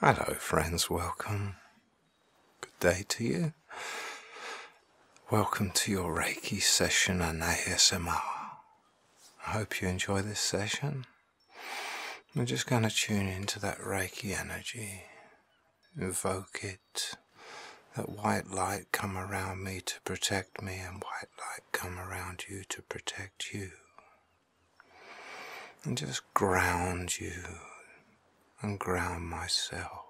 Hello, friends, welcome. Good day to you. Welcome to your Reiki session and ASMR. I hope you enjoy this session. We're just going to tune into that Reiki energy, invoke it, that white light come around me to protect me, and white light come around you to protect you and just ground you and ground myself,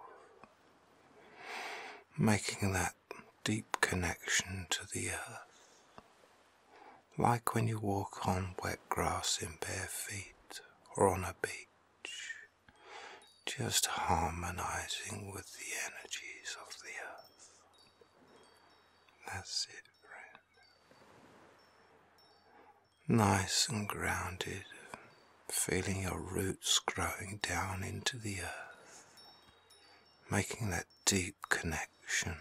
making that deep connection to the earth, like when you walk on wet grass in bare feet or on a beach, just harmonizing with the energies of the earth. That's it, friend nice and grounded, feeling your roots growing down into the earth, making that deep connection.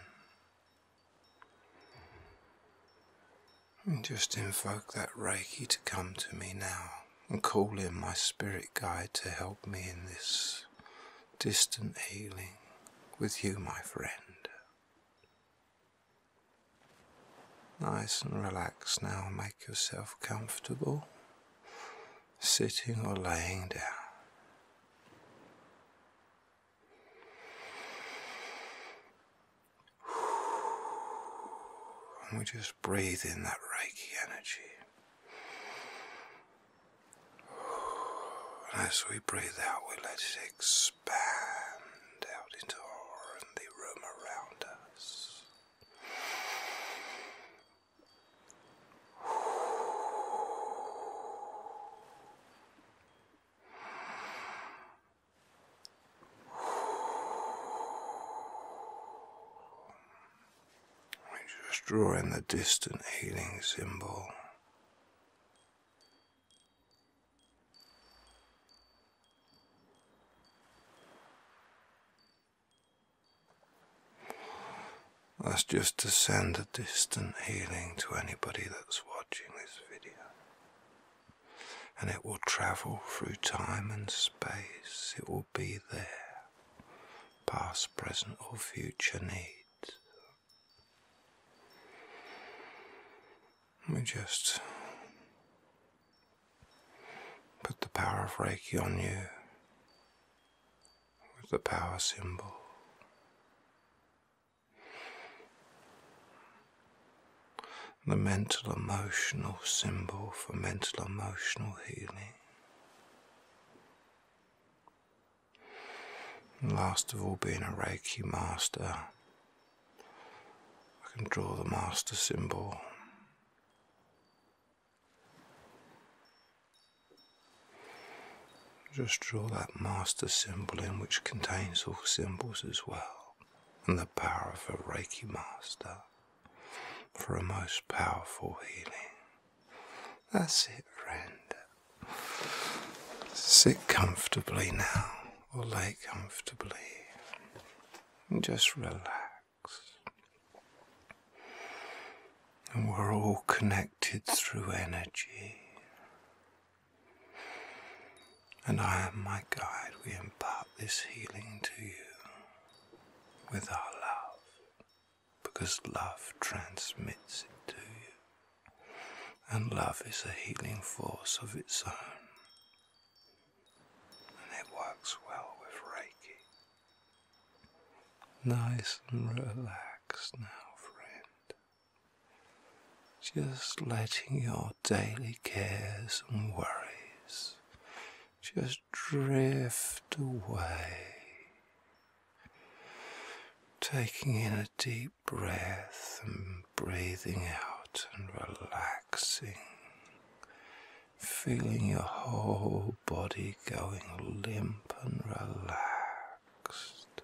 And just invoke that Reiki to come to me now and call in my spirit guide to help me in this distant healing with you, my friend. Nice and relaxed now, make yourself comfortable, sitting or laying down. And we just breathe in that Reiki energy as we breathe out, we let it expand out into the room around us. We just draw in the distant healing symbol that's just to send a distant healing to anybody that's watching this video. And it will travel through time and space. It will be there, past, present, or future needs. Let me just put the power of Reiki on you with the power symbol. The mental emotional symbol for mental emotional healing. And last of all, being a Reiki master, I can draw the master symbol. Just draw that master symbol in, which contains all symbols as well, and the power of a Reiki master for a most powerful healing. That's it, friend. Sit comfortably now, or lay comfortably. And just relax. And we're all connected through energy. And I am my guide. We impart this healing to you with our love because love transmits it to you. And love is a healing force of its own. And it works well with Reiki. Nice and relaxed now, friend. Just letting your daily cares and worries just drift away Taking in a deep breath and breathing out and relaxing. Feeling your whole body going limp and relaxed.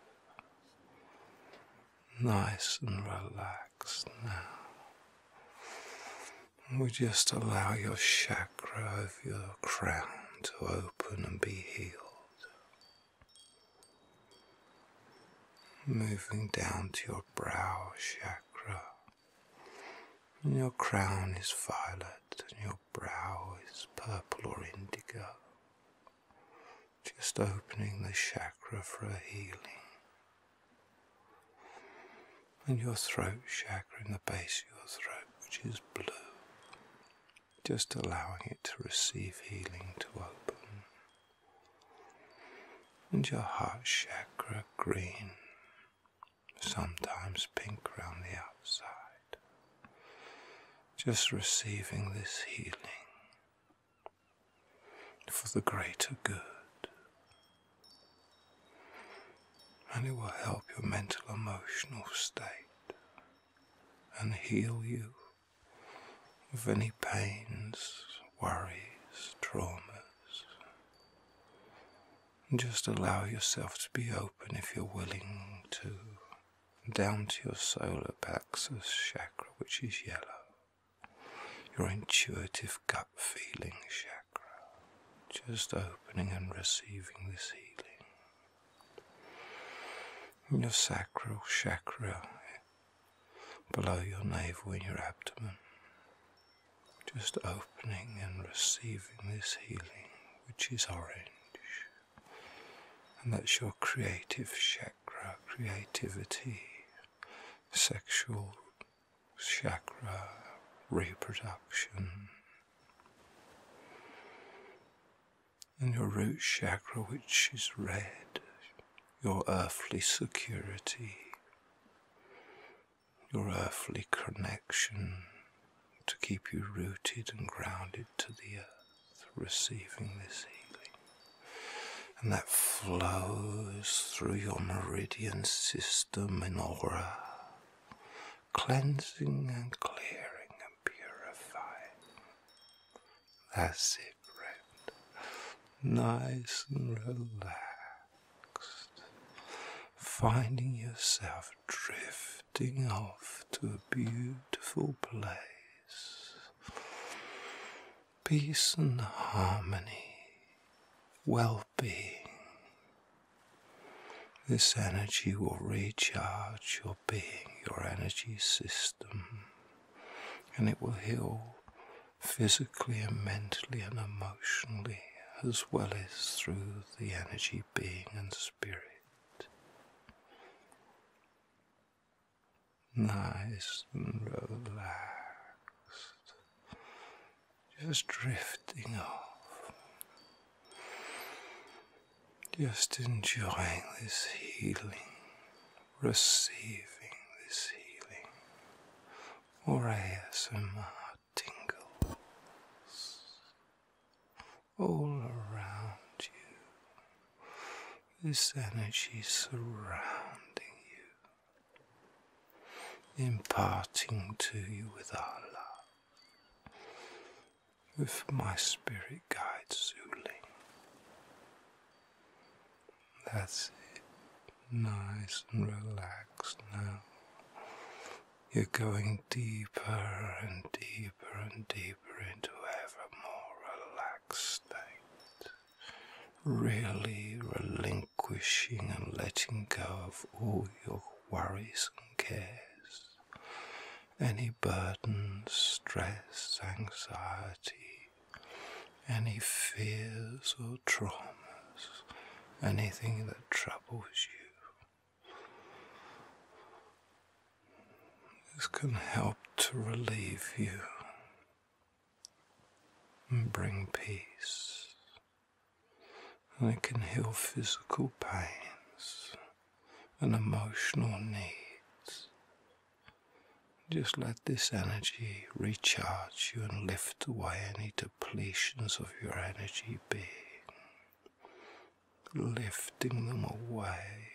Nice and relaxed now. We just allow your chakra of your crown to open and be healed. Moving down to your brow chakra. And your crown is violet and your brow is purple or indigo. Just opening the chakra for a healing. And your throat chakra in the base of your throat, which is blue just allowing it to receive healing to open, and your heart chakra green, sometimes pink round the outside, just receiving this healing for the greater good. And it will help your mental emotional state and heal you of any pains, worries, traumas. Just allow yourself to be open if you're willing to, down to your solar plexus chakra, which is yellow, your intuitive gut feeling chakra, just opening and receiving this healing your sacral chakra below your navel in your abdomen. Just opening and receiving this healing, which is orange. And that's your creative chakra, creativity, sexual chakra, reproduction. In your root chakra, which is red, your earthly security, your earthly connection to keep you rooted and grounded to the earth, receiving this healing. And that flows through your meridian system in aura cleansing and clearing and purifying. That's it, friend. Nice and relaxed. Finding yourself drifting off to a beautiful place. Peace and harmony, well being. This energy will recharge your being, your energy system, and it will heal physically and mentally and emotionally, as well as through the energy, being, and spirit. Nice and relaxed, just drifting off just enjoying this healing, receiving this healing, or ASMR tingles all around you. This energy surrounding you, imparting to you with our love, with my spirit guide Zuling. That's it. Nice and relaxed now. You're going deeper and deeper and deeper into ever more relaxed state. Really relinquishing and letting go of all your worries and cares any burdens, stress, anxiety, any fears or traumas, anything that troubles you. This can help to relieve you and bring peace. And it can heal physical pains and emotional needs. Just let this energy recharge you and lift away any depletions of your energy being, lifting them away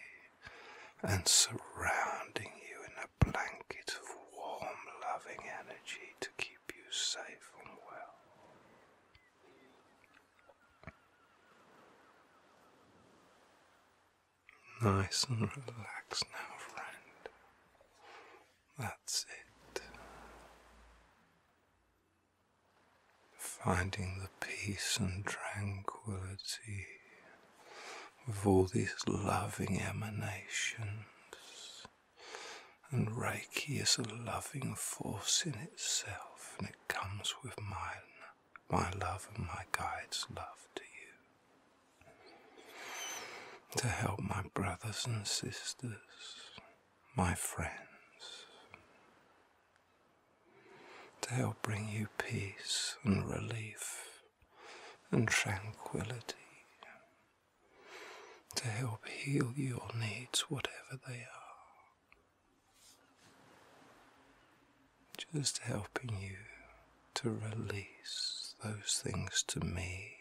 and surrounding you in a blanket of warm, loving energy to keep you safe and well. Nice and relaxed now, friend. That's it. Finding the peace and tranquility of all these loving emanations. And Reiki is a loving force in itself, it comes with mine, my love and my guide's love to you. To help my brothers and sisters, my friends, to help bring you peace and relief and tranquility. To help heal your needs, whatever they are, just helping you to release those things to me.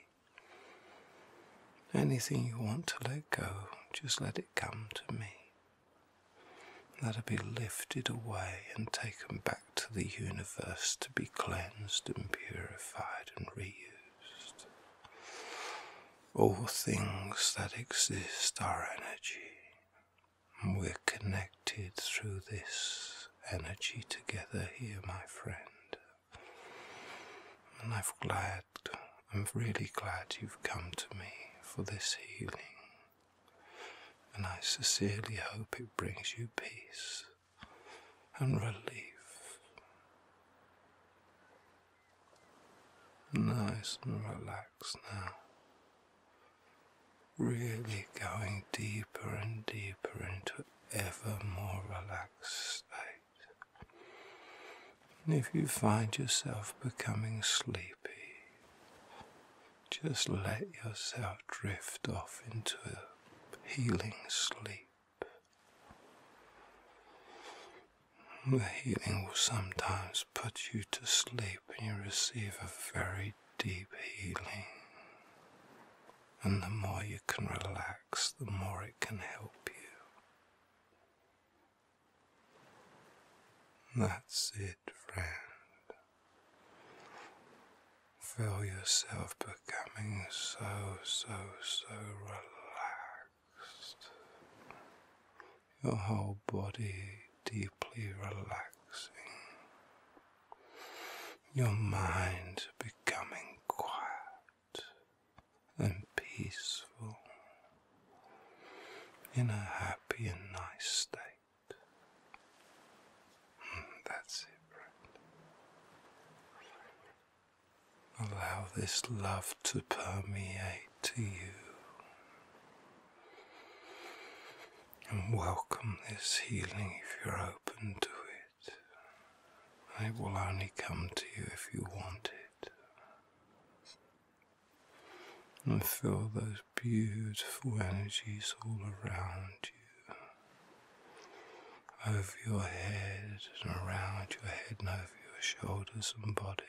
Anything you want to let go, just let it come to me. Let it be lifted away and taken back to the universe to be cleansed and purified and reused. All things that exist are energy. We're connected through this energy together here, my friend. And I'm glad, I'm really glad you've come to me for this healing. And I sincerely hope it brings you peace and relief. Nice and relaxed now. Really going deeper and deeper into ever more relaxed state. if you find yourself becoming sleepy, just let yourself drift off into a healing sleep. The healing will sometimes put you to sleep and you receive a very deep healing. And the more you can relax, the more it can help you. That's it, friend. Feel yourself becoming so, so, so relaxed your whole body deeply relaxing, your mind becoming quiet and peaceful in a happy and nice state. Hmm, that's it, friend. Allow this love to permeate to you and welcome this healing if you're open to it. It will only come to you if you want it. And feel those beautiful energies all around you, over your head and around your head and over your shoulders and body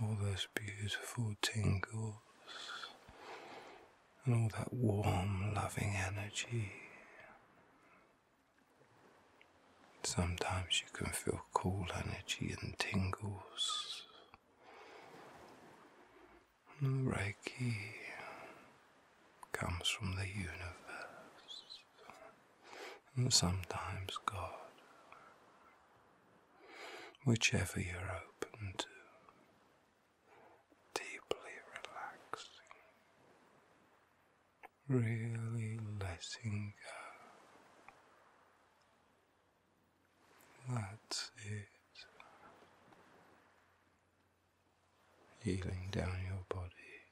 all those beautiful tingles and all that warm, loving energy. Sometimes you can feel cool energy and tingles. And Reiki comes from the universe and sometimes God, whichever you're open to, deeply relaxing, really letting go. That's it. Healing down your body,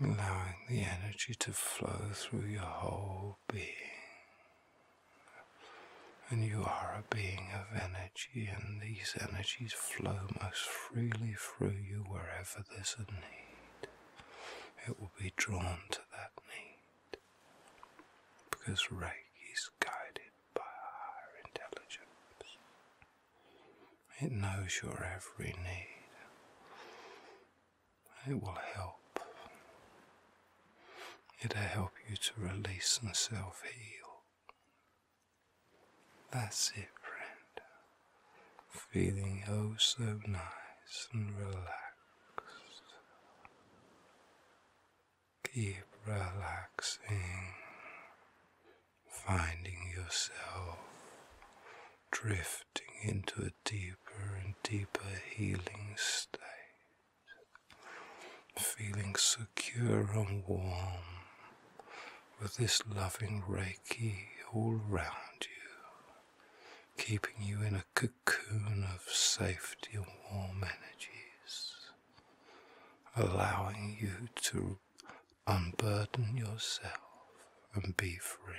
allowing the energy to flow through your whole being. And you are a being of energy, and these energies flow most freely through you wherever there's a need. It will be drawn to that need because Reiki is guided by higher intelligence. It knows your every need. It will help. It'll help you to release and self heal. That's it, friend. Feeling oh so nice and relaxed. Keep relaxing finding yourself drifting into a deeper and deeper healing state, feeling secure and warm with this loving Reiki all around you, keeping you in a cocoon of safety and warm energies, allowing you to unburden yourself and be free.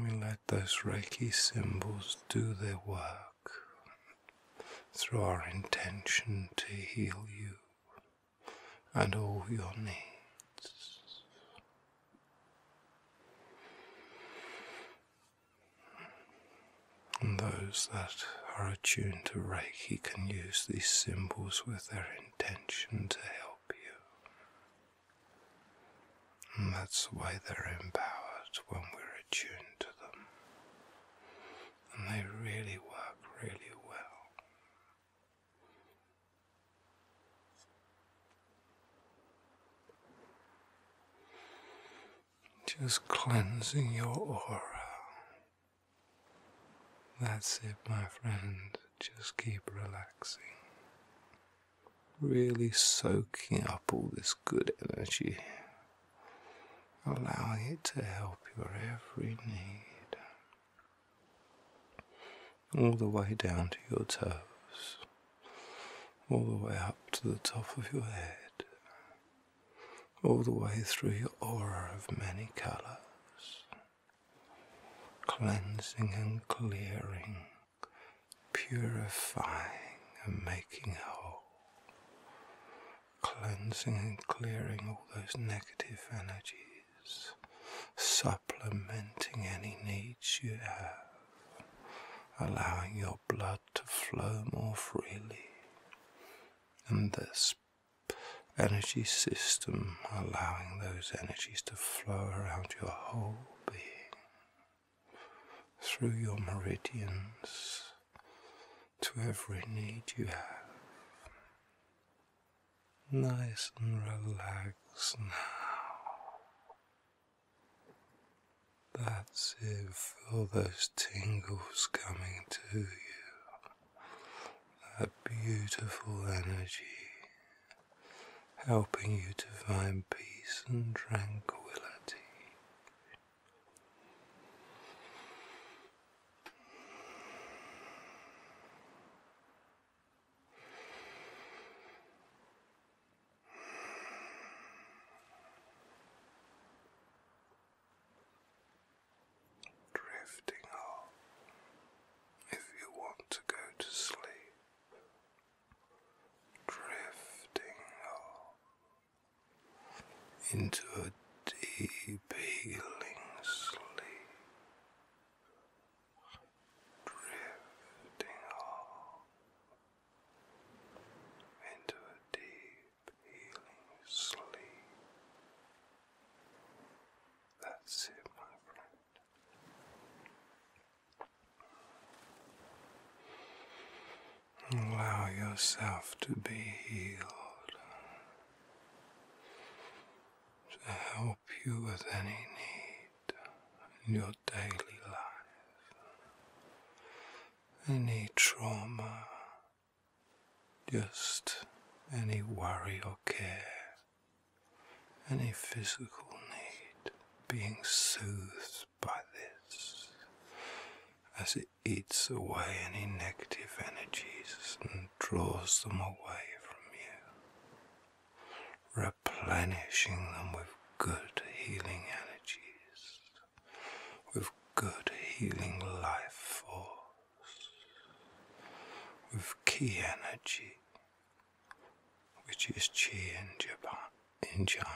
We let those Reiki symbols do their work through our intention to heal you and all your needs. And those that are attuned to Reiki can use these symbols with their intention to help you. And that's why they're empowered when we're attuned to them. And they really work really well. Just cleansing your aura. That's it, my friend. Just keep relaxing. Really soaking up all this good energy, allowing it to help your every need, all the way down to your toes, all the way up to the top of your head all the way through your aura of many colors, cleansing and clearing, purifying and making whole, cleansing and clearing all those negative energies, supplementing any needs you have allowing your blood to flow more freely, and this energy system allowing those energies to flow around your whole being through your meridians to every need you have. Nice and relaxed now. That's it, for those tingles coming to you, that beautiful energy helping you to find peace and tranquility. Drifting off if you want to go to sleep. Drifting off into a deep healing sleep. Drifting off into a deep healing sleep. That's it, my friend. Allow yourself to be healed to help you with any need your daily life. Any trauma, just any worry or care, any physical need being soothed by this as it eats away any negative energies and draws them away from you, replenishing them with good healing energies with good healing life force, with key energy, which is Qi in Japan, in China.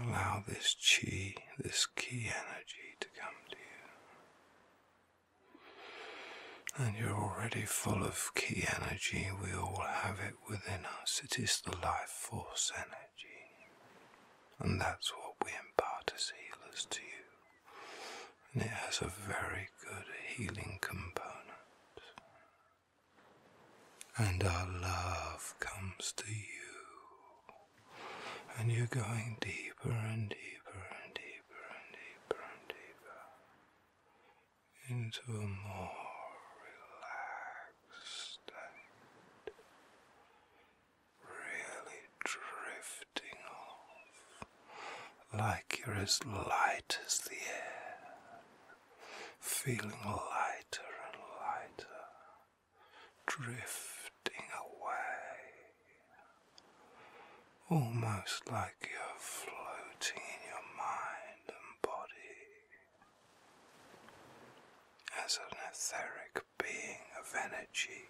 Allow this Qi, this key energy to come to you. And you're already full of key energy, we all have it right within us. It is the life force energy. And that's what we impart as healers to you. And it has a very good healing component. And our love comes to you. And you're going deeper and deeper and deeper and deeper and deeper into a more relaxed state, really drifting off like you're as light as the air, feeling lighter and lighter, drifting away, almost like you're floating in your mind and body as an etheric being of energy.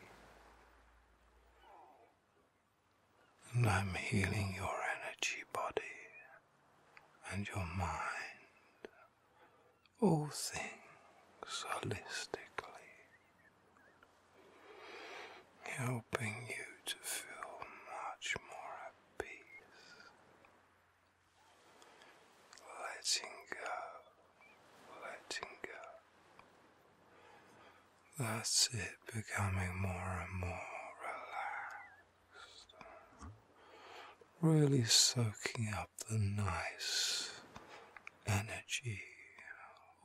And I'm healing your energy body and your mind, all things holistically, helping you to feel much more at peace letting go, letting go. That's it, becoming more and more relaxed. Really soaking up the nice energy,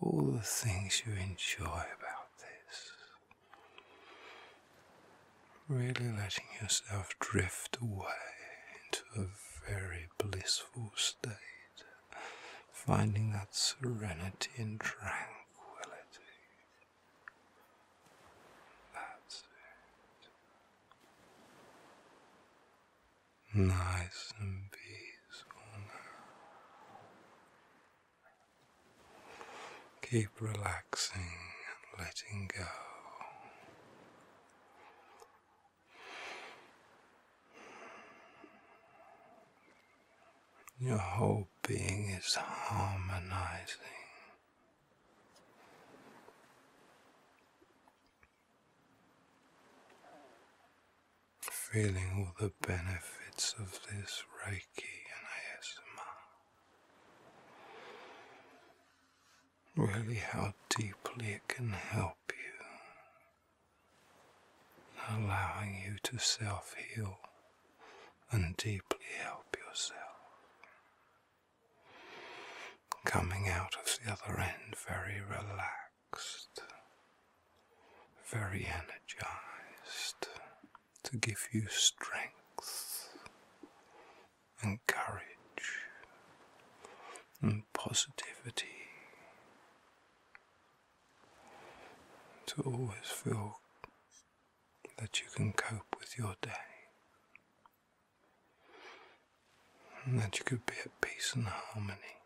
all the things you enjoy about this. Really letting yourself drift away into a very blissful state, finding that serenity and tranquility. That's Nice and peaceful Keep relaxing and letting go. Your whole being is harmonizing. Feeling all the benefits of this Reiki and really how deeply it can help you, allowing you to self heal and deeply help yourself. Coming out of the other end very relaxed, very energized, to give you strength and courage and positivity. To always feel that you can cope with your day and that you could be at peace and harmony,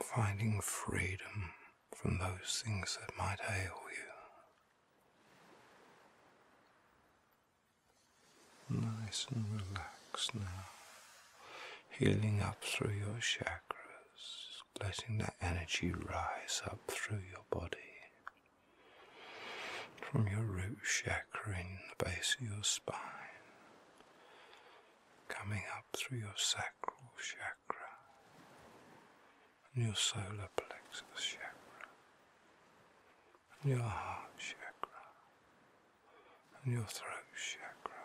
finding freedom from those things that might ail you. Nice and relaxed now, healing up through your chakras, letting that energy rise up through your body. From your root chakra in the base of your spine, coming up through your sacral chakra, and your solar plexus chakra, and your heart chakra, and your throat chakra,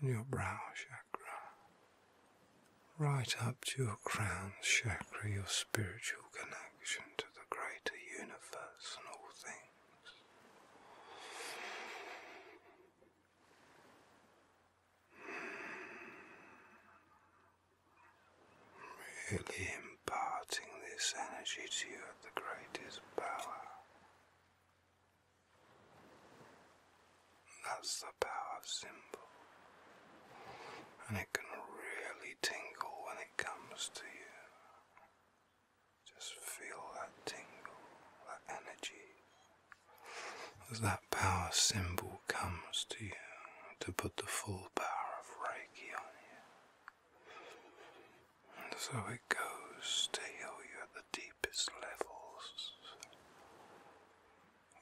and your brow chakra, right up to your crown chakra, your spiritual connection to the greater universe and all things. Really imparting this energy to you at the greatest power. That's the power symbol. And it can really tingle when it comes to you. Just feel that tingle, that energy as that power symbol comes to you to put the full power of Reiki on you. And so it goes to heal you at the deepest levels.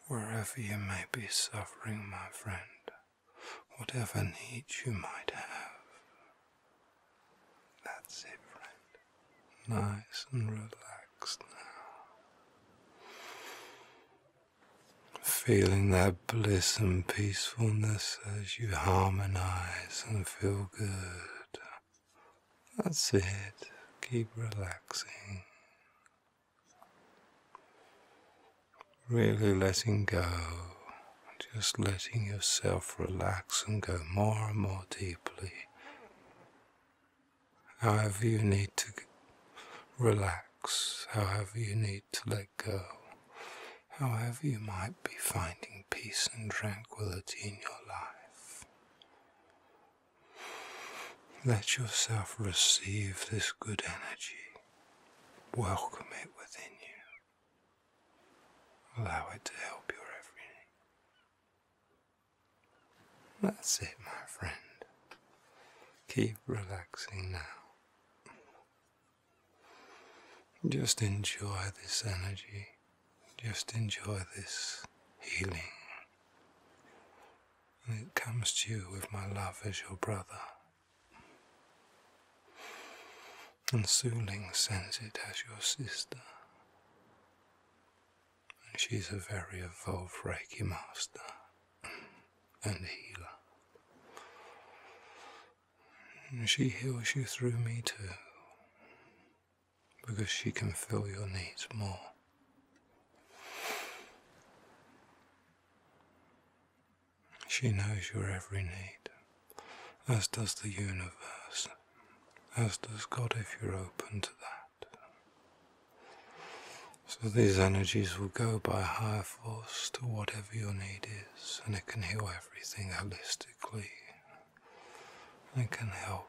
Wherever you may be suffering, my friend, whatever needs you might have. That's it, friend nice and relaxed now. Feeling that bliss and peacefulness as you harmonize and feel good. That's it. Keep relaxing. Really letting go. Just letting yourself relax and go more and more deeply however you need to relax, however you need to let go, however you might be finding peace and tranquility in your life. Let yourself receive this good energy, welcome it within you, allow it to help your every that's it, my friend. Keep relaxing now. Just enjoy this energy. Just enjoy this healing. And it comes to you with my love as your brother. And Suling sends it as your sister. She's a very evolved Reiki master and healer. She heals you through me too, because she can feel your needs more. She knows your every need, as does the universe, as does God if you're open to that. So these energies will go by higher force to whatever your need is, and it can heal everything holistically. It can help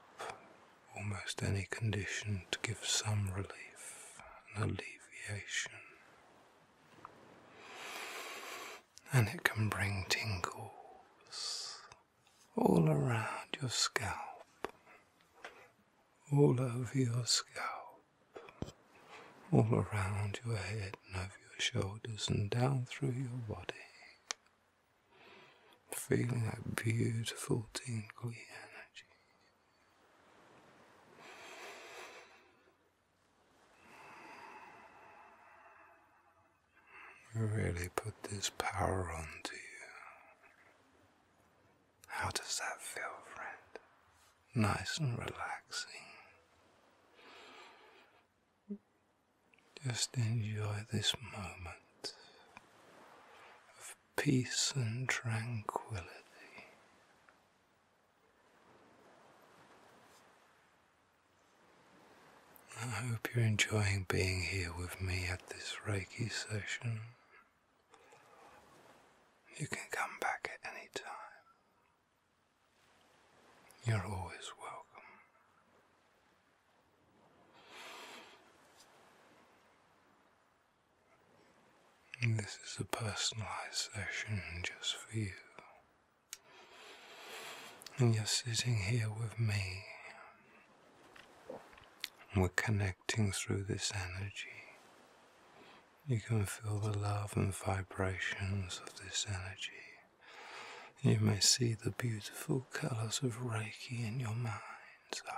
almost any condition to give some relief and alleviation. And it can bring tingles all around your scalp, all over your scalp, all around your head and over your shoulders and down through your body. Feeling that beautiful tingling energy. Really put this power onto you. How does that feel, friend? Nice and relaxing. Just enjoy this moment of peace and tranquility. I hope you're enjoying being here with me at this Reiki session. You can come back at any time. You're always welcome. this is a personalized session just for you. And you're sitting here with me we're connecting through this energy. You can feel the love and vibrations of this energy. You may see the beautiful colors of Reiki in your mind's eye.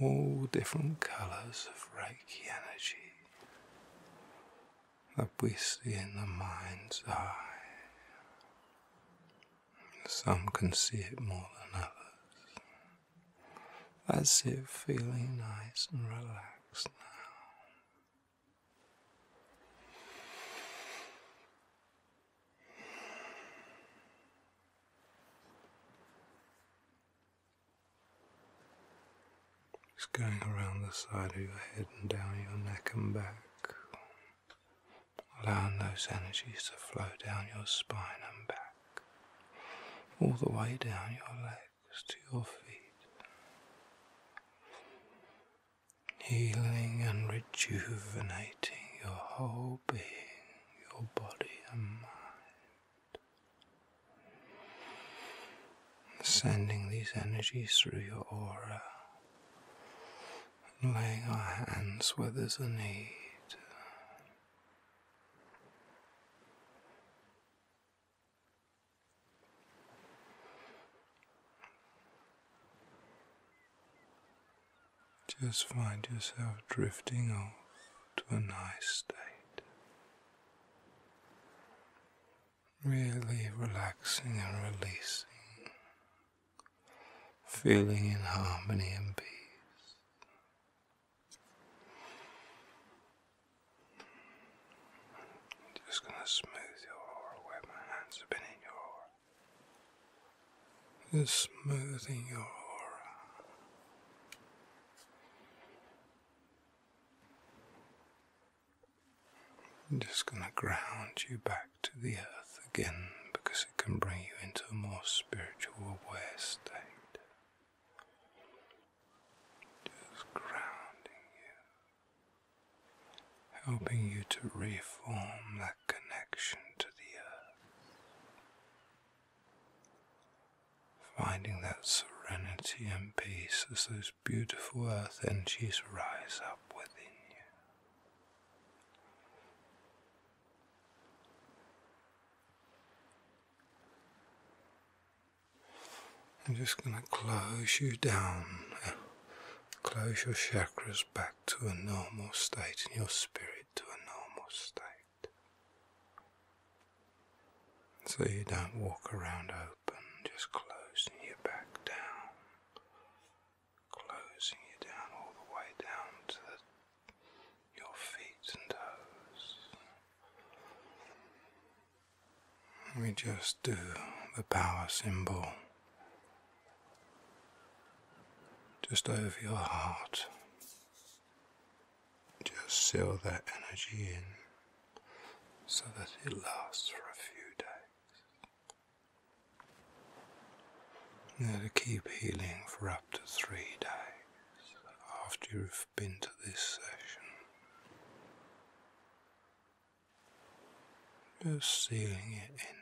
All different colors of Reiki energy that we see in the mind's eye. Some can see it more than others. That's it, feeling nice and relaxed now. It's going around the side of your head and down your neck and back allowing those energies to flow down your spine and back, all the way down your legs to your feet, healing and rejuvenating your whole being, your body and mind, sending these energies through your aura and laying our hands where there's a need. Just find yourself drifting off to a nice state really relaxing and releasing, feeling in harmony and peace. just going to smooth your aura my hands have in your aura. Just smoothing your aura. I'm just going to ground you back to the earth again because it can bring you into a more spiritual aware state. Just grounding you, helping you to reform that connection to the earth. Finding that serenity and peace as those beautiful earth energies rise up. I'm just going to close you down, close your chakras back to a normal state and your spirit to a normal state. So you don't walk around open, just closing you back down closing you down all the way down to your feet and toes. We just do the power symbol just over your heart. Just seal that energy in so that it lasts for a few days. Now to keep healing for up to three days after you've been to this session. Just sealing it in.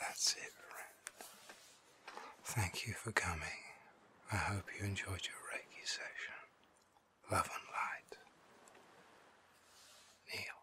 That's it, friend. Thank you for coming. I hope you enjoyed your Reiki session love and light. Kneel.